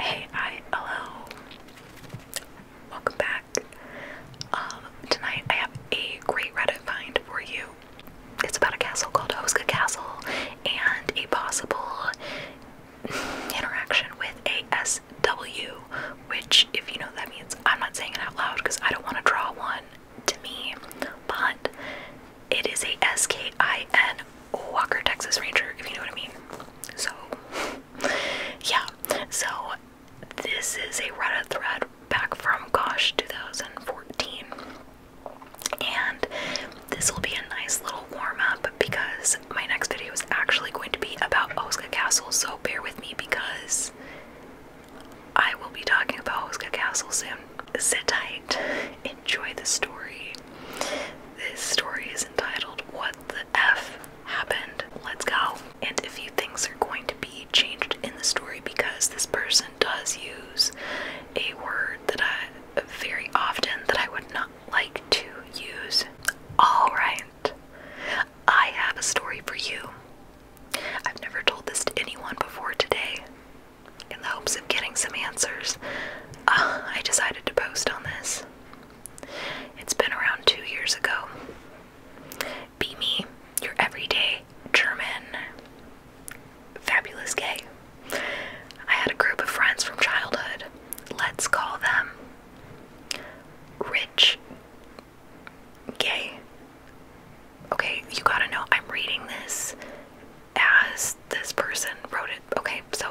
hi, hello. Welcome back. Um, tonight I have a great Reddit find for you. It's about a castle called Hoska Castle and a possible interaction with ASW, which, if you know what that means, I'm not saying it out loud because I don't want to draw one to me, but it is a S K I N Walker, Texas Ranger, if you know what I mean. So, yeah. So, this is a Reddit thread back from, gosh, 2014. And this will be a nice little warm up because my next video is actually going to be about Oscar Castle. So, bear with me because I will be talking about Oscar Castle soon. Sit tight, enjoy the story. This story is entitled What the F Happened? Let's go. And a few things are going to be changed in the story because this person does use a word that I very often that I would not like to use. Alright, I have a story for you. I've never told this to anyone before today in the hopes hopes of getting some answers, uh, I decided to post on this. It's been around two years ago. Be me, your everyday German, fabulous gay. I had a group of friends from childhood. Let's call them rich gay. Okay, you gotta know, I'm reading this as this person wrote it. Okay, so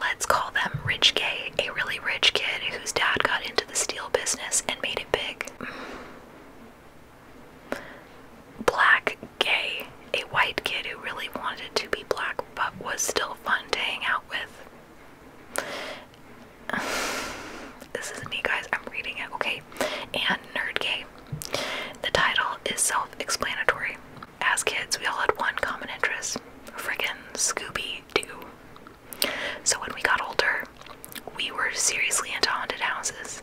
let's call them Rich Gay, a really rich kid whose dad got into the steel business and made it big. Black Gay, a white kid who really wanted to be black but was still fun to hang out with. This is me, guys. I'm reading it, okay? And Nerd Gay. The title is self explanatory. As kids, we all had one common interest friggin' Scooby Doo. So when we got older, we were seriously into haunted houses.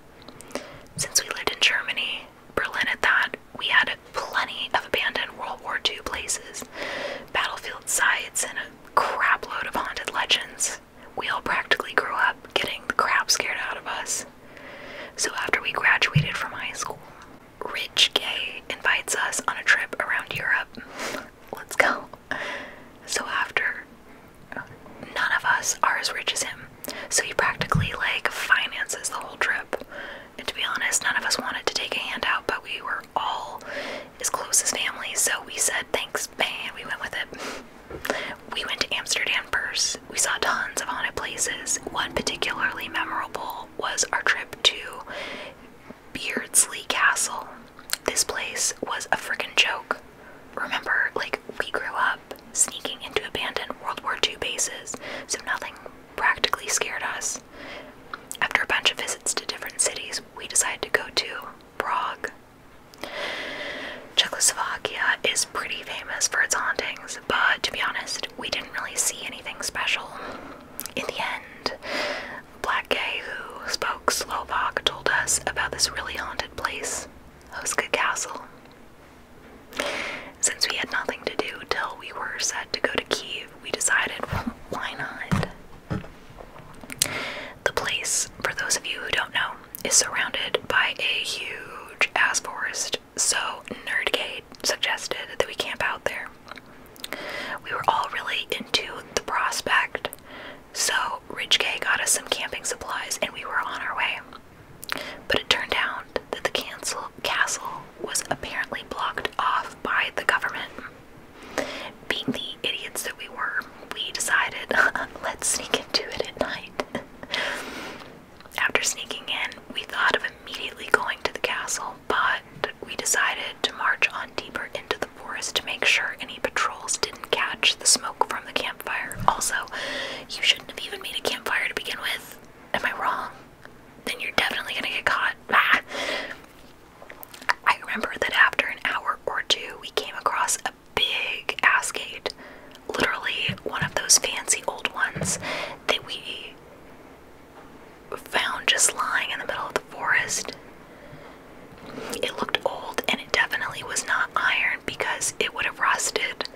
Since we lived in Germany, Berlin at that, we had plenty of abandoned World War II places, battlefield sites, and a crapload of haunted legends. We all practically grew up getting the crap scared out of us. So after we graduated from high school, Rich Gay invites us on a trip around Europe. Let's go. So after none of us are as rich as him. So he practically like finances the whole trip. And to be honest, none of us wanted to take a handout, but we were all as close as family, so we said thanks, man, we went with it. We went to Amsterdam first we saw tons of haunted places. One particularly memorable was our trip to Beardsley Castle. This place was a freaking joke. Remember, like, we grew up sneaking into abandoned World War II bases, so nothing practically scared us. After a bunch of visits to different cities, we decided to go to Prague. Czechoslovakia is pretty famous for its hauntings, but to be honest, we didn't really see anything special. In the end, black guy who spoke Slovak told us about this really haunted place, Hoska Castle. Since we had nothing to do till we were set to go to Kiev, we decided, why not? The place, for those of you who don't know, is surrounded by a huge ass forest so Nerdcade suggested that we camp out there. We were all really into the prospect, so Ridge K got us some camping supplies and we were on our way. But it turned out that the castle was apparently blocked off by the government. Being the idiots that we were, we decided let's sneak into it at night. After sneaking in, we thought of immediately going to the castle, but we decided to march on deeper into the forest to make sure any patrols didn't catch the smoke from the campfire. Also, you shouldn't have even made a campfire to begin with. Am I wrong? Then you're definitely gonna get caught. I remember that after an hour or two, we came across a big ass gate literally one of those fancy old ones that we found just lying in the middle of the forest. It looked old and it definitely was not iron because it would have rusted.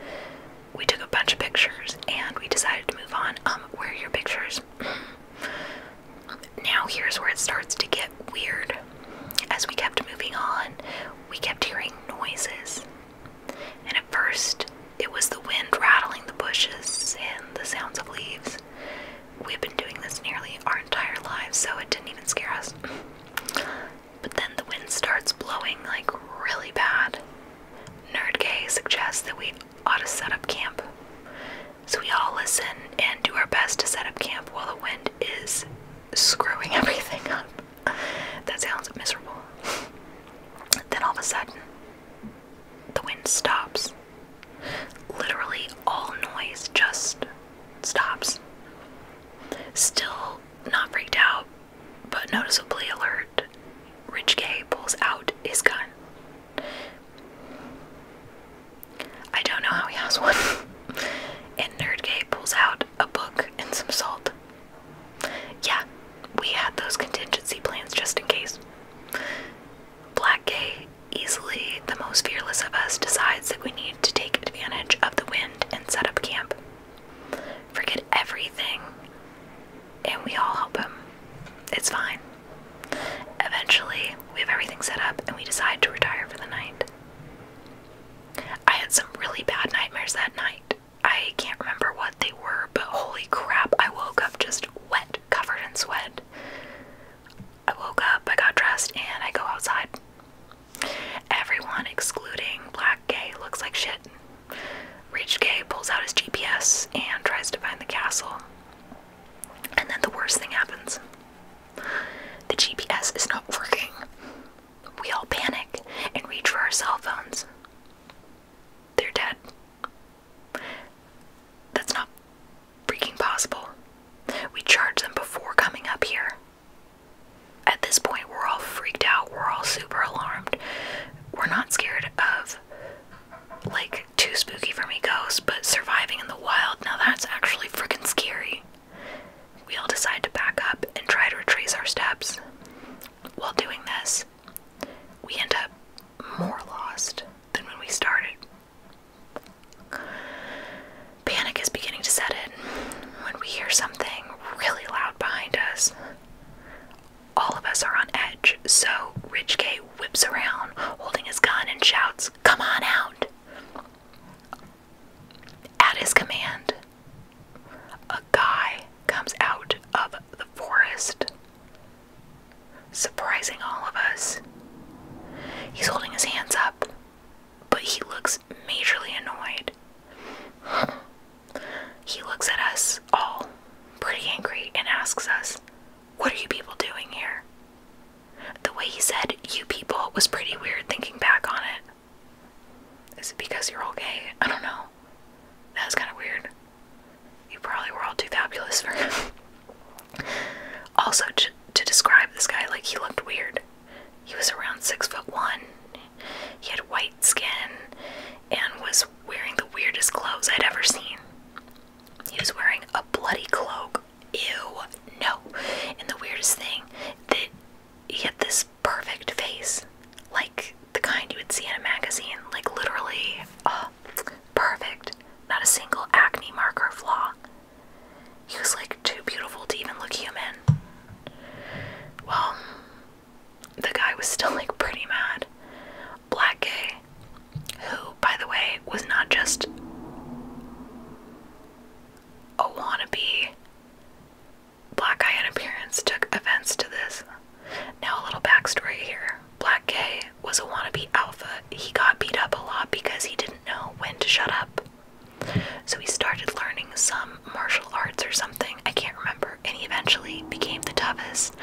We took a bunch of pictures and we decided to move on. Um, where are your pictures? now, here's where it starts to get weird. As we kept moving on, we kept hearing noises and at first it was the wind rattling the bushes and the sounds of leaves. We've been doing this nearly our entire lives, so it didn't even scare us. But then the wind starts blowing like really bad. Nerdgay suggests that we ought to set up camp. So we all listen and do our best to set up camp while the wind is screwing everything up that sounds miserable. then all of a sudden, the wind stops. Literally, all noise just stops. Still not freaked out, but noticeably alert, Rich K pulls out his gun. I don't know how he has one. and Nerd K pulls out a book and some salt. Yeah, we had those contingency plans just in case. Black Gay, easily the most fearless of us, decides that we need to take advantage of the wind and set up camp. Forget everything, and we all help him. It's fine. Eventually, we have everything set up and we decide to retire for the night. I had some really bad nightmares that night. I can't remember what they were, but holy crap, I woke up just wet, covered in sweat. I woke up, I got dressed, and I go outside. Everyone, excluding black gay, looks like shit. Rich gay pulls out his GPS and tries to find the castle. And then the worst thing happens the GPS is not working we all panic and reach for our cell phones. They're dead. That's not freaking possible. We charged them before coming up here. At this point, we're all freaked out. We're all super alarmed. We're not scared of, like, too spooky for me ghosts, but surviving in the wild, now that's actually freaking scary. We all decide to back up and try to retrace our steps. While doing this, we end up more lost than when we started. Panic is beginning to set in when we hear something really loud behind us. All of us are on edge, so Ridge K whips around, holding his gun, and shouts, Come on out! At his command, a guy comes out of the forest, surprising all of us. He's holding his hands up, but he looks majorly annoyed. He looks at us all pretty angry and asks us, What are you people doing here? The way he said, You people, was pretty weird thinking back on it. Is it because you're all gay? I don't know. That's kind of weird. You probably were all too fabulous for him. also, to describe this guy, like, he looked weird. He was around six foot one. He had white skin and was wearing the weirdest clothes I'd ever seen. He was wearing a bloody cloak. Ew, no. And the weirdest thing that he had this perfect face, like the kind you would see in a magazine, like literally uh, perfect, not a single acne mark or flaw. He was like too beautiful to even look human. Well, the guy was still like pretty mad. Black Gay, who, by the way, was not just a wannabe Black Eye in appearance took events to this. Now, a little backstory here Black Gay was a wannabe alpha. He got beat up a lot because he didn't know when to shut up. So he started learning some martial arts or something, I can't remember, and he eventually became the toughest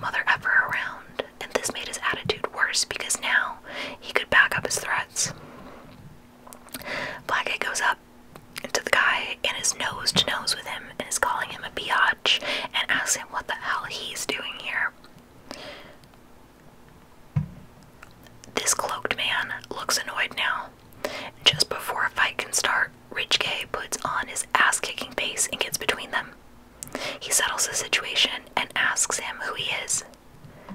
mother ever around. And this made his attitude worse because now he could back up his threats. Black Blackhead goes up up to the guy and is nose to nose with him and is calling him a biatch and asks him what the hell he's doing here. This cloaked man looks annoyed now. Just before a fight can start, Rich K puts on his ass kicking face and gets between them. He settles the situation and asks him who he is.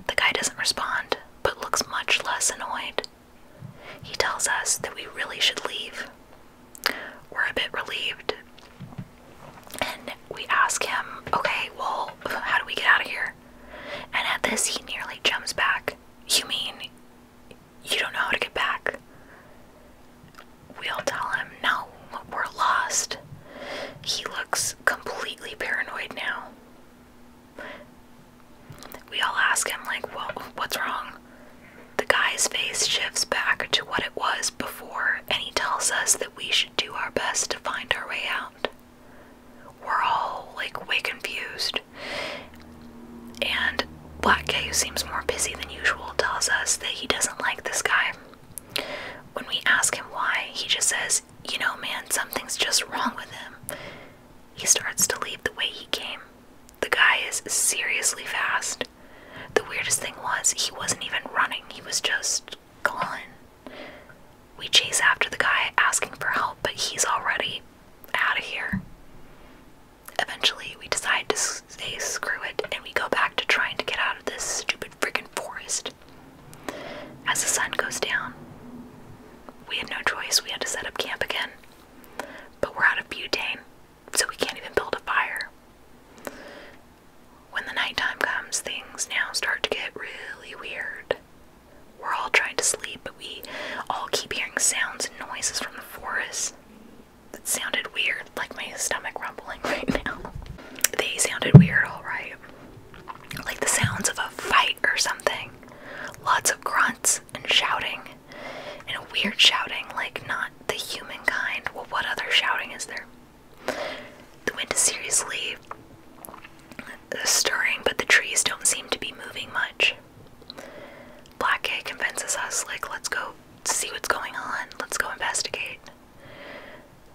The guy doesn't respond, but looks much less annoyed. He tells us that we really should leave. We're a bit relieved. And we ask him, okay, well, how do we get out of here? And at this, he nearly jumps back. You mean you don't know how to get back? We all tell him, no, we're lost. He looks completely paranoid now. We all ask him, like, well, what's wrong? The guy's face shifts back to what it was before, and he tells us that we should do our best to find our way out. We're all, like, way confused. And Black K, who seems more busy than usual, tells us that he doesn't like this guy. When we ask him why, he just says you know, man, something's just wrong with him. He starts to leave the way he came. The guy is seriously fast. The weirdest thing was, he wasn't even running, he was just gone. We chase after the guy asking for help, but he's already out of here. Eventually, we decide to say screw it and we go back to trying to get out of this stupid freaking forest. As the sun goes down, we had no choice. We had to set up camp again. But we're out of butane, so we can't even build a fire. When the nighttime comes, things now start to get really weird. We're all trying to sleep, but we all keep hearing sounds and noises from the forest that sounded weird, like my stomach rumbling right now. They sounded weird, alright like the sounds of a fight or something. Lots of grunts and shouting, and weird shouting, like not the human kind. Well, what other shouting is there? The wind is seriously stirring, but the trees don't seem to be moving much. Black K convinces us, like, let's go see what's going on, let's go investigate.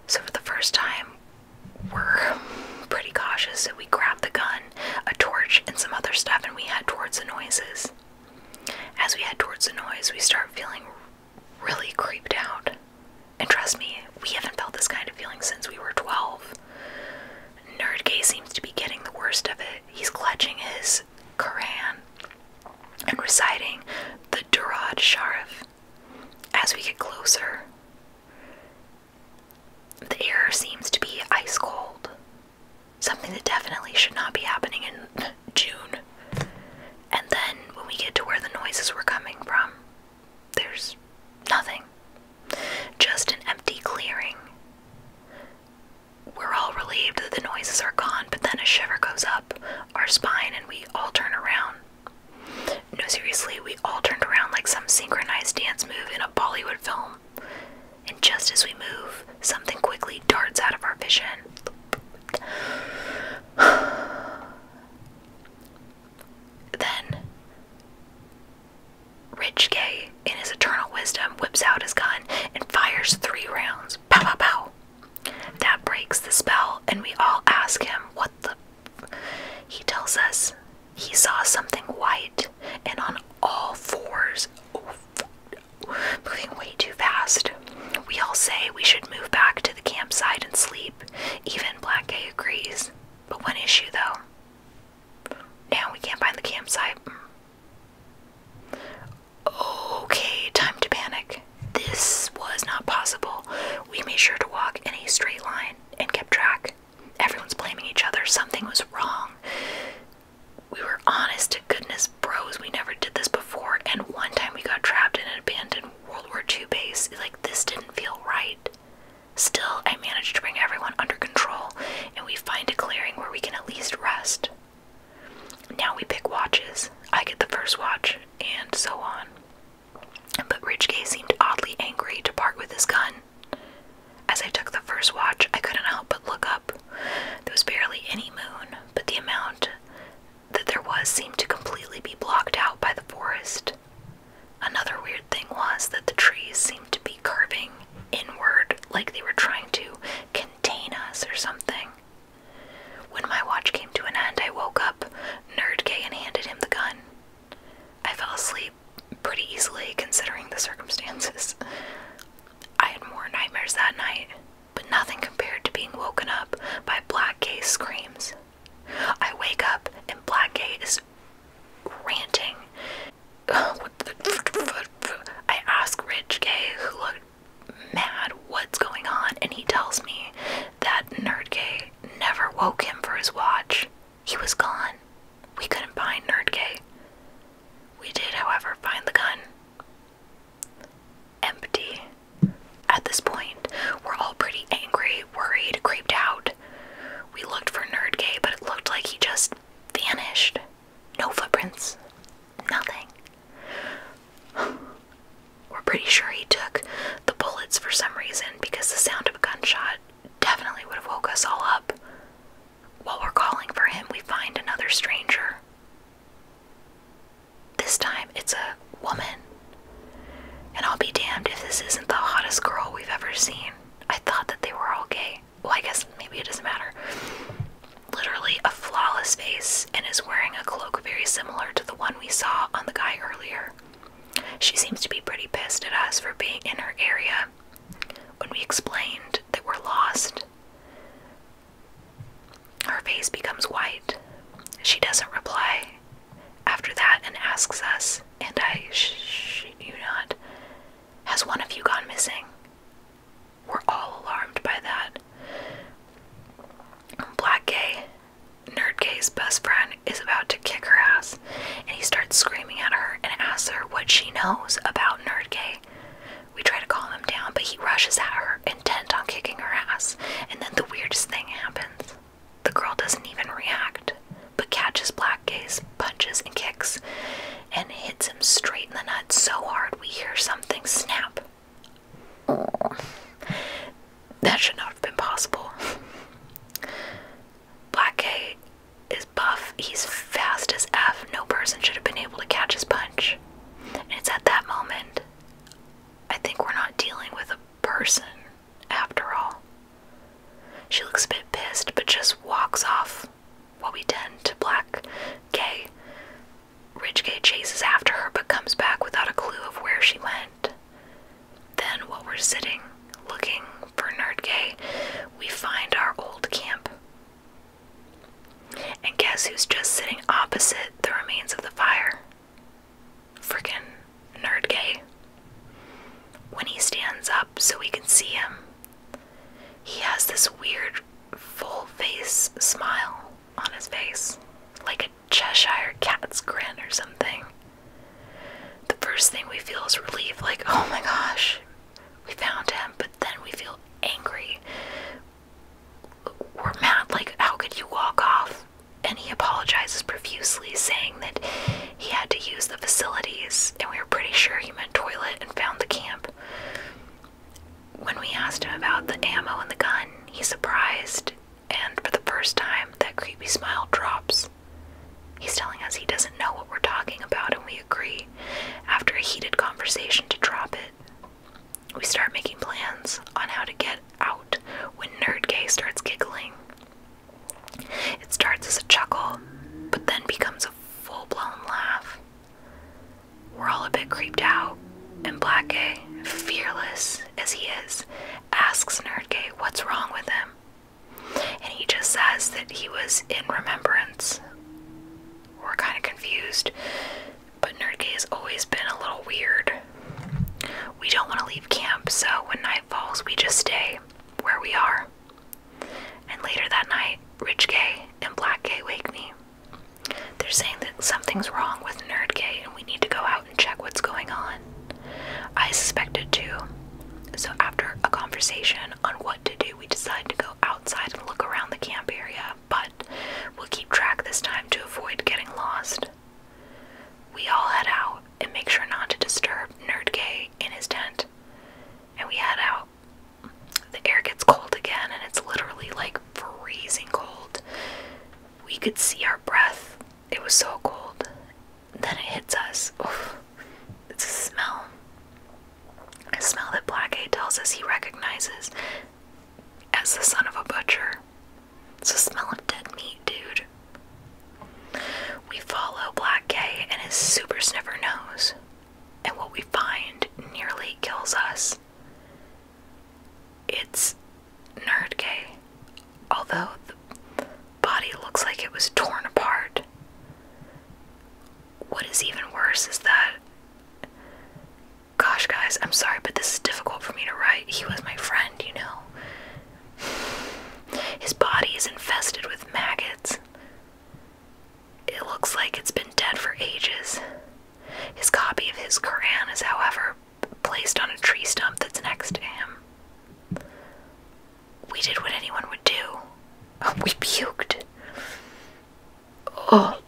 So, for the first time, were pretty cautious, we grabbed the gun, a torch, and some other stuff, and we head towards the noises. As we head towards the noise, we start feeling really creeped out. And trust me, we haven't felt this kind of feeling since we were 12. Nerdgay seems to be getting the worst of it. He's clutching his Quran and reciting the Durad Sharif. As we get closer, the air seems to be ice cold. Something that definitely should not be happening in June. And then when we get to where the noises were coming from, there's nothing. Just an empty clearing. We're all relieved that the noises are gone, but then a shiver goes up our spine and we all turn around. No, seriously, we all turned around like some synchronized dance move in a Bollywood film. And just as we move, something quickly darts out of our vision. then, Rich Gay, in his eternal wisdom, whips out his gun and fires three rounds. Pow, pow, pow. That breaks the spell, and we all ask him what the he tells us he saw something white and on all fours, moving way too fast. We all say we should move back to the campsite and sleep. Even Black agrees. But one issue though. Now we can't find the campsite. Okay, time to panic. This was not possible. We made sure to walk in a straight line and kept track. Everyone's blaming each other. Something was wrong. We were honest to goodness bros. We never did this before. And one time we got trapped in an abandoned World War II base. Like, this didn't feel right. Still, I managed to bring everyone under control and we find a clearing where we can at least rest. Now we pick watches. I get the first watch, and so on. But Ridgegay seemed oddly angry to part with his gun. As I took the first watch, I couldn't help but look up. There was barely any moon, but the amount that there was seemed to completely be blocked out by the forest. Another weird thing was that the trees seemed to be curving inward like they were trying to contain us or something. When my watch came to an end, I woke up, Nerdgay, and handed him the gun. I fell asleep pretty easily considering the circumstances. I had more nightmares that night, but nothing compared to being woken up by Black Gay's screams. I wake up and Black Gay is ranting. I ask Rich Gay, who looked mad, what's going on, and he tells me that Nerd Gay never woke him for his watch. He was gone. We couldn't find Nerdgay. We did, however, find the gun. Empty. At this point, we're all pretty angry, worried, creeped out. We looked for Nerdgay, but it looked like he just vanished. No footprints. Nothing. We're pretty sure he took the bullets for some reason because the sound of a gunshot definitely would have woke us all up. While we're calling for him, we find another stranger. This time it's a woman. And I'll be damned if this isn't the hottest girl we've ever seen. I thought that they were all gay. Well, I guess maybe it doesn't matter. Literally a flawless face and is wearing a cloak very similar to the one we saw on the guy earlier. She seems to be pretty pissed at us for being in her area when we explained that we're lost. Her face becomes white. She doesn't reply after that and asks us, and I shit you not, has one of you gone missing? We're all alarmed by that. Black Gay Nerdkay's best friend is about to kick her ass, and he starts screaming at her and asks her what she knows about Nerdkay. We try to calm him down, but he rushes at her, intent on kicking her ass, and then the weirdest thing happens. The girl doesn't even react, but catches Blackgaze, punches and kicks, and hits him straight in the nuts so hard we hear something snap that should not have been possible. Black K is buff. He's fast as F. No person should have been able to catch his punch. And it's at that moment, I think we're not dealing with a person after all. She looks a bit pissed, but just walks off. What we tend to Black K. Ridge K chases after her, but comes back without a clue of where she went. Then, while we're sitting looking for nerd Nerdgay, we find our old camp. And guess who's just sitting opposite the remains of the fire? nerd Nerdgay. When he stands up so we can see him, he has this weird full face smile on his face, like a Cheshire cat's grin or something. The first thing we feel is relief, like, oh my gosh, we found him, but then we feel angry. We're mad, like, how could you walk off? And he apologizes profusely, saying that he had to use the facilities, and we were pretty sure he meant toilet and found the camp. When we asked him about the ammo and the gun, he's surprised and for the first time, that creepy smile drops. He's telling us he doesn't know what we're talking about, and we agree, after a heated conversation, to drop it. We start making plans on how to get out when Nerd Gay starts giggling. It starts as a chuckle, but then becomes a full blown laugh. We're all a bit creeped out and Black A, fearless as he is, asks Nerd Nerdgay what's wrong with him. And he just says that he was in remembrance. We're kind of confused, but Nerd Nerdgay has always been a little weird. We don't want to leave camp, so when night falls, we just stay where we are. And later that night, Rich Gay and Black Gay wake me. They're saying that something's wrong with Nerdgate and we need to go out and check what's going on. I suspected too. So, after a conversation on what to do, we decide to go outside and look around the camp area, but we'll keep track this time to avoid getting lost. We all head out and make sure not to disturb Nerdgay in his tent. And we head out. The air gets cold again, and it's literally like freezing cold we could see our breath. It was so cold. Then it hits us. It's a smell. A smell that Black A tells us he recognizes as the son of a butcher. It's the smell of dead meat, dude. We follow Black A and his super sniffer nose, and what we find nearly kills us. It's nerd gay, although the body looks like it was torn apart. What is even worse is that. Gosh, guys, I'm sorry, but this is difficult for me to write. He was my friend, you know. His body is infested with maggots. It looks like it's been dead for ages. His copy of his Quran is, however, placed on a tree stump that's next to him. We did what anyone would do. We puked. Oh.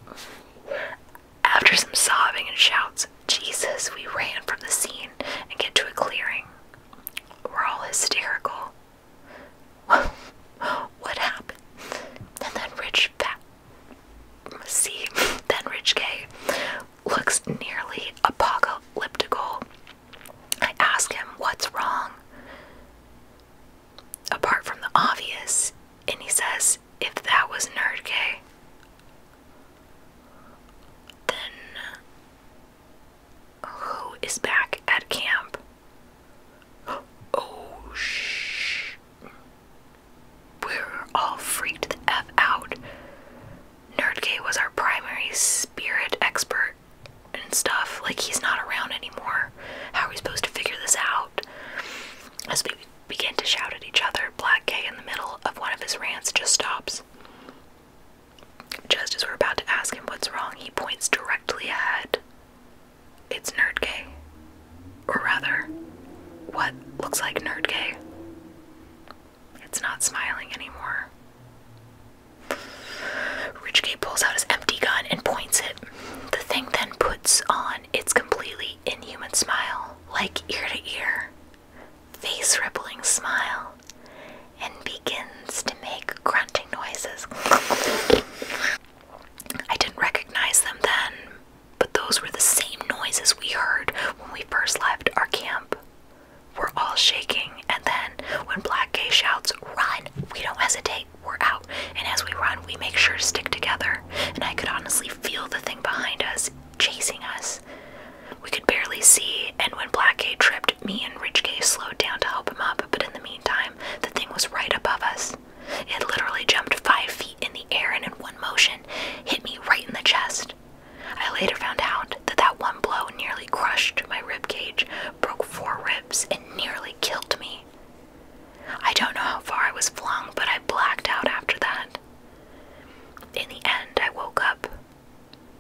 After some sobbing and shouts, Jesus, we ran from the scene and get to a clearing. We're all hysterical. what happened? And then Rich fat See, then Rich K, looks nearly apocalyptic. I ask him what's wrong, apart from the obvious, and he says, if that was Nerd K, then who is back at camp? Oh, shh we're all freaked the F out. Nerdgate was our primary spirit expert and stuff. Like, he's not around anymore. How are we supposed to figure this out? As we begin to shout at each other, Black K in the middle of one of his rants just stops. Just as we're about to ask him what's wrong, he points directly ahead it's nerdgay. Or rather, what looks like nerdgay. It's not smiling anymore. Rich Richgay pulls out his empty gun and points it. The thing then puts on its completely inhuman smile, like ear to ear, face rippling smile, and begins to make grunting noises. I didn't recognize them then, but those were the same noises we heard when we first left our camp. We're all shaking, and then when Black Gay shouts, Run! We don't hesitate, we're out. And as we run, we make sure to stick together. And I could honestly feel the thing behind us chasing us. We could barely see, and when Black Gay tripped, me and Rich Gay slowed down to help him up, but in the meantime, the thing was right above us. It literally jumped five feet in the air and in one motion hit me right in the chest. I later found out that that one blow nearly crushed my rib cage, broke four ribs, and nearly killed me. I don't know how far I was flung, but I blacked out after that. In the end, I woke up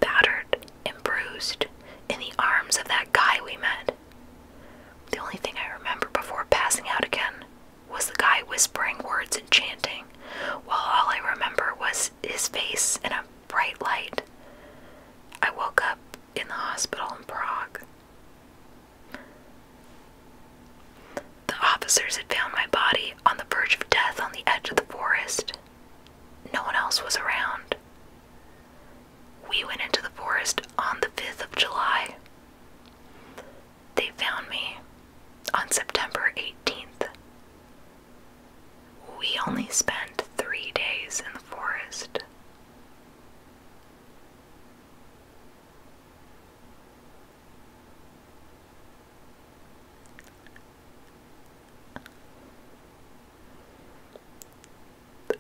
battered and bruised in the arms of that guy we met. The only thing I remember before passing out again was the guy whispering words and chanting, while all I remember was his face in a bright light. I woke up in the hospital in Prague. The officers had found my body on the verge of death on the edge of the forest. No one else was around. We went into the forest on the 5th of July. They found me on September 18th. We only spent three days in the forest.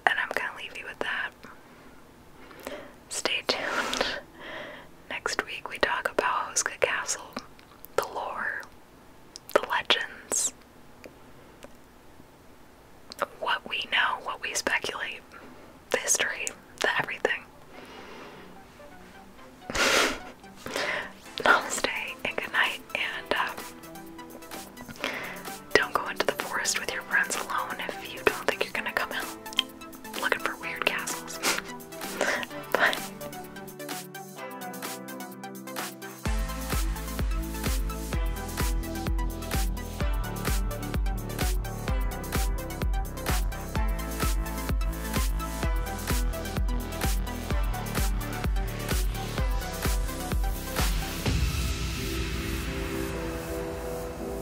And I'm going to leave you with that. Stay tuned. Next week we talk about Hoska Castle, the lore, the legends, what we know, what we speculate, the history, the everything. Namaste and good night, and uh, don't go into the forest with your friends alone if you don't think you're gonna come out looking for weird castles. Bye.